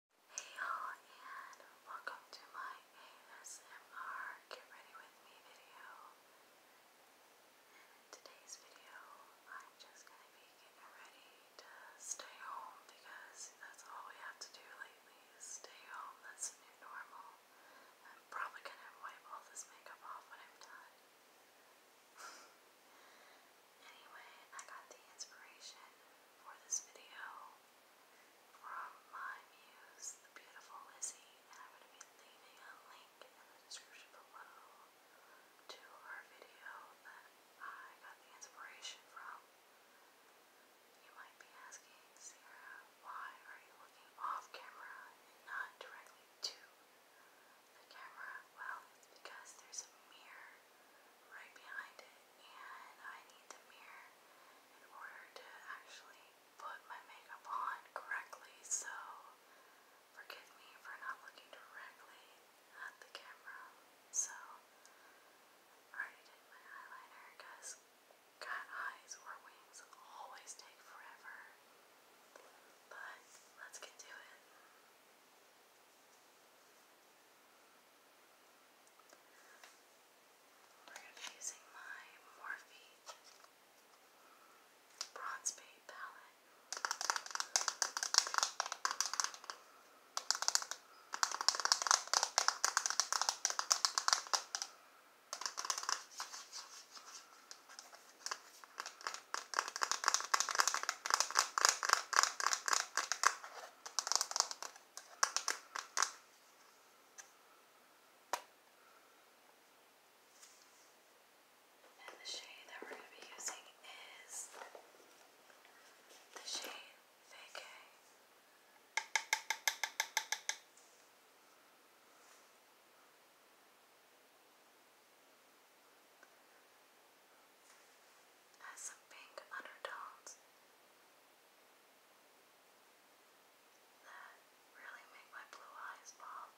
Hey y'all, and welcome to my ASMR Get Ready With Me video. in today's video, I'm just going to be getting ready to stay home because that's all we have to do lately is stay home. That's the new normal. I'm probably going to wipe all this makeup off when I'm done. Anyway, I got the inspiration for this video from my muse, the beautiful Lizzie, and I'm going to be leaving a link in the description below to her video that I got the inspiration from. You might be asking, Sarah, why are you looking off camera and not directly to the camera? Well, it's because there's a mirror right behind it, and I need the mirror in order to actually put my makeup on correctly. So, forgive me for not looking directly at the camera. So, I already did my eyeliner because cat eyes or wings always take forever. But let's get to it. We're going to be using my Morphe Bronze Bay palette. Now and the shade that we're going to be using is the shade Vacay. Has some pink undertones that really make my blue eyes pop.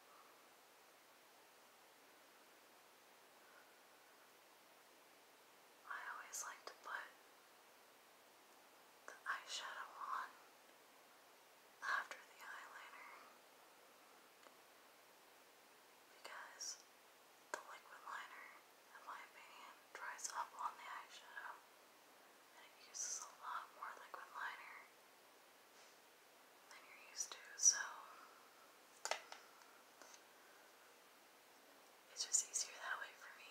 I always like to put the eyeshadow on after the eyeliner because the liquid liner, in my opinion, dries up on the eyeshadow and it uses a lot more liquid liner than you're used to, so it's just easier that way for me.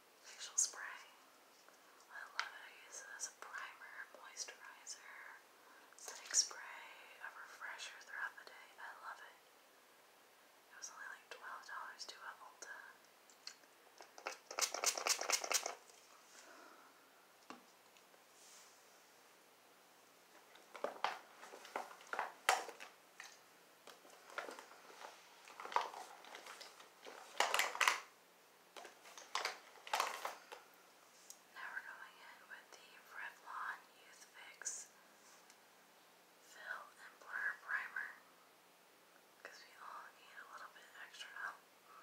facial spray. I love it. I use it as a primer, moisturizer, setting spray, a refresher throughout the day. I love it. It was only like twelve dollars to Ulta. Now we're going in with the Revlon Youth Fix Fill and Blur Primer because we all need a little bit extra help. Now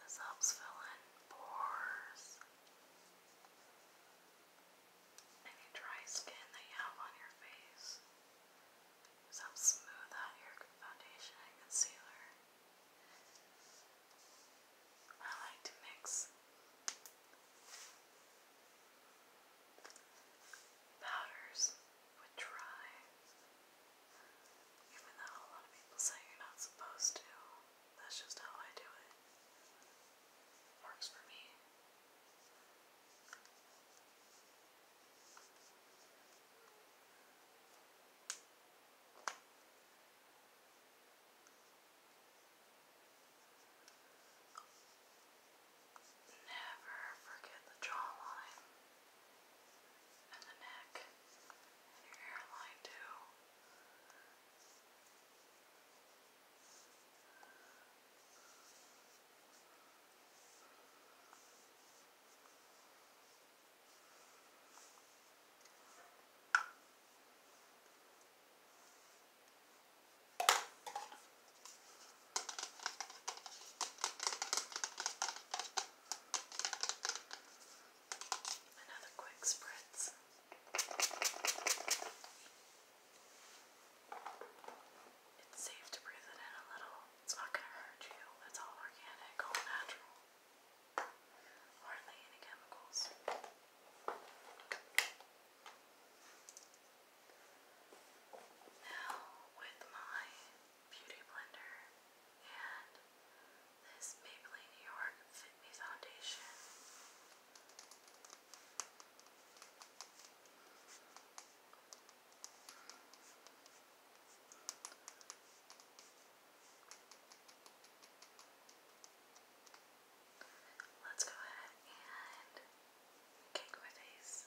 This helps fill in pores. Any dry skin that you have on your face. This helps smooth out your foundation and concealer. I like to mix powders with dry, even though a lot of people say you're not supposed to. That's just how I do it. Works for me. Never forget the jawline and the neck and your hairline, too. Another quick spritz. It's safe to breathe it in a little. It's not going to hurt you. It's all organic, all natural. Hardly any chemicals. Now, with my beauty blender and this Maybelline New York Fit Me Foundation. Let's go ahead and cake my face.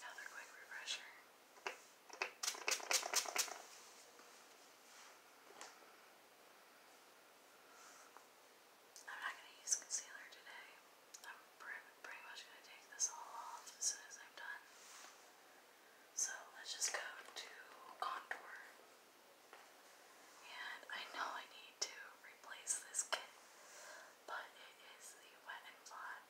Another quick refresher. I'm not going to use concealer today. I'm pretty much going to take this all off as soon as I'm done. So let's just go to contour. And I know I need to replace this kit, but it is the Wet n Fly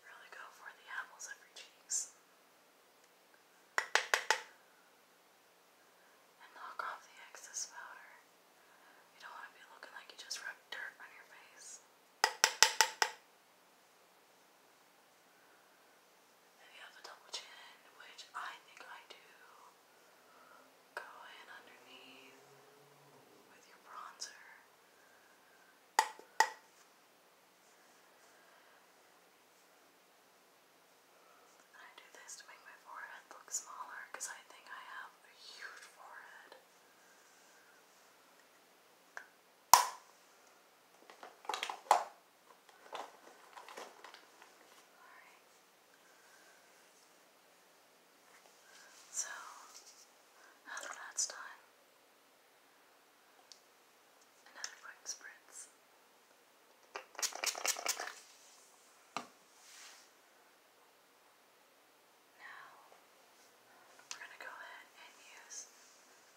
Really go for the apples of your cheeks. And knock off the excess powder. You don't want to be looking like you just rubbed dirt on your face. If you have a double chin, which I think I do, Go in underneath with your bronzer. I do this to make my forehead look smaller because I think I have a huge forehead. So, out of that another quick spritz. Now, we're going to go ahead and use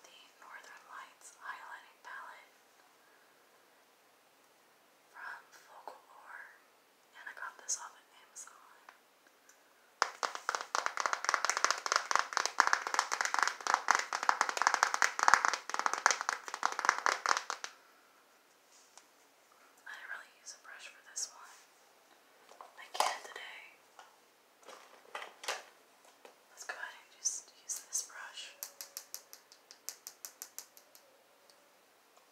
the Northern Lights highlighting palette from Focal I got this off Amazon. I didn't really use a brush for this one. I can today. Let's go ahead and just use this brush.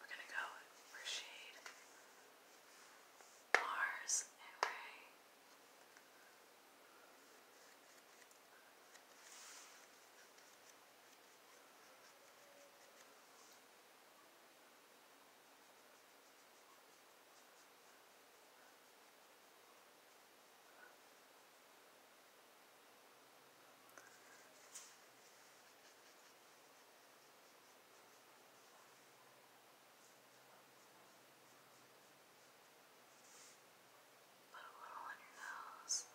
We're gonna go for shade Mars and Ray. Put a little on your nose.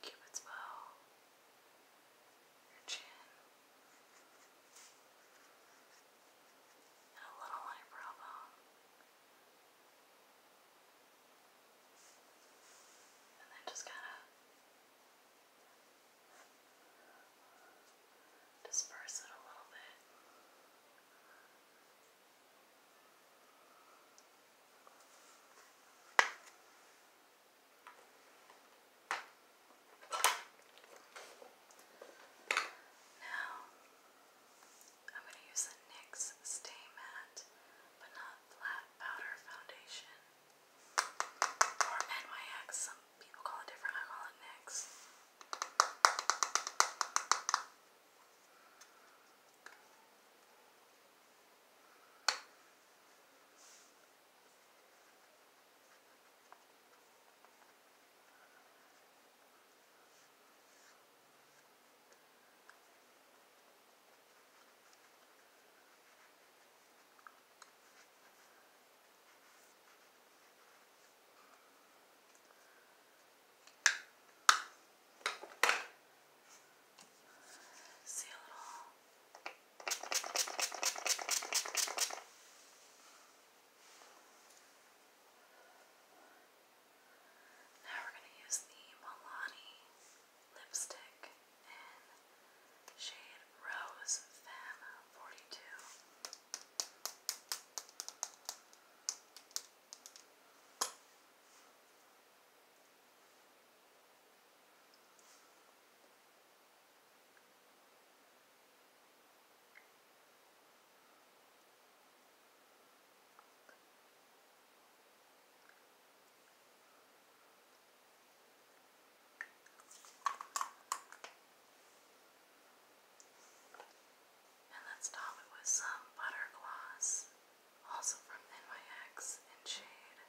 Cupid's bow. Your chin. And a little on your brow bone. And then just kind of disperse it a little bit. Now, I'm going to use the NYX Stay Matte, but not flat powder foundation or NYX. Some people call it different. I call it NYX. See a little now we're going to use the Milani lipstick in shade Rose Femme 42. And let's top it with some butter gloss, also from NYX in shade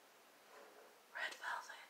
Red Velvet.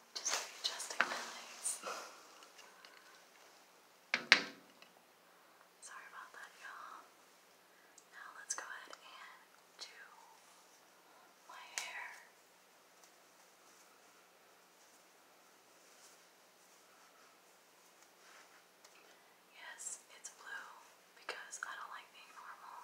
Just adjusting my legs. Sorry about that, y'all. Now let's go ahead and do my hair. Yes, it's blue because I don't like being normal.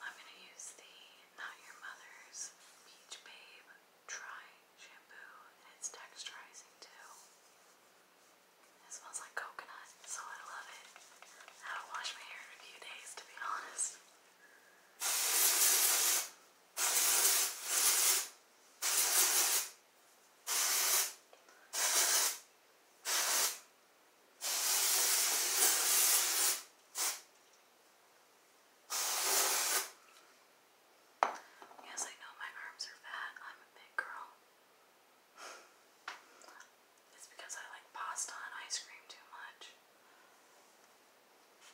I'm going to use the Not Your Mother's Peach Babe Dry Shampoo, it's texturizing too. It smells like coconut, so I love it. haven't washed my hair in a few days, to be honest. Yes, I know my arms are fat. I'm a big girl. it's because I like pasta and ice cream too much.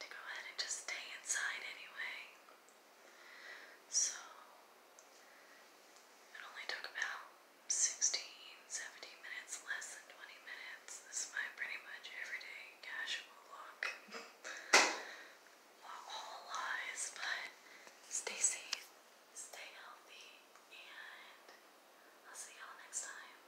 to go ahead and just stay inside anyway. So, it only took about 16, 17 minutes, less than 20 minutes. This is my pretty much everyday casual look. all lies, but stay safe, stay healthy, and I'll see y'all next time.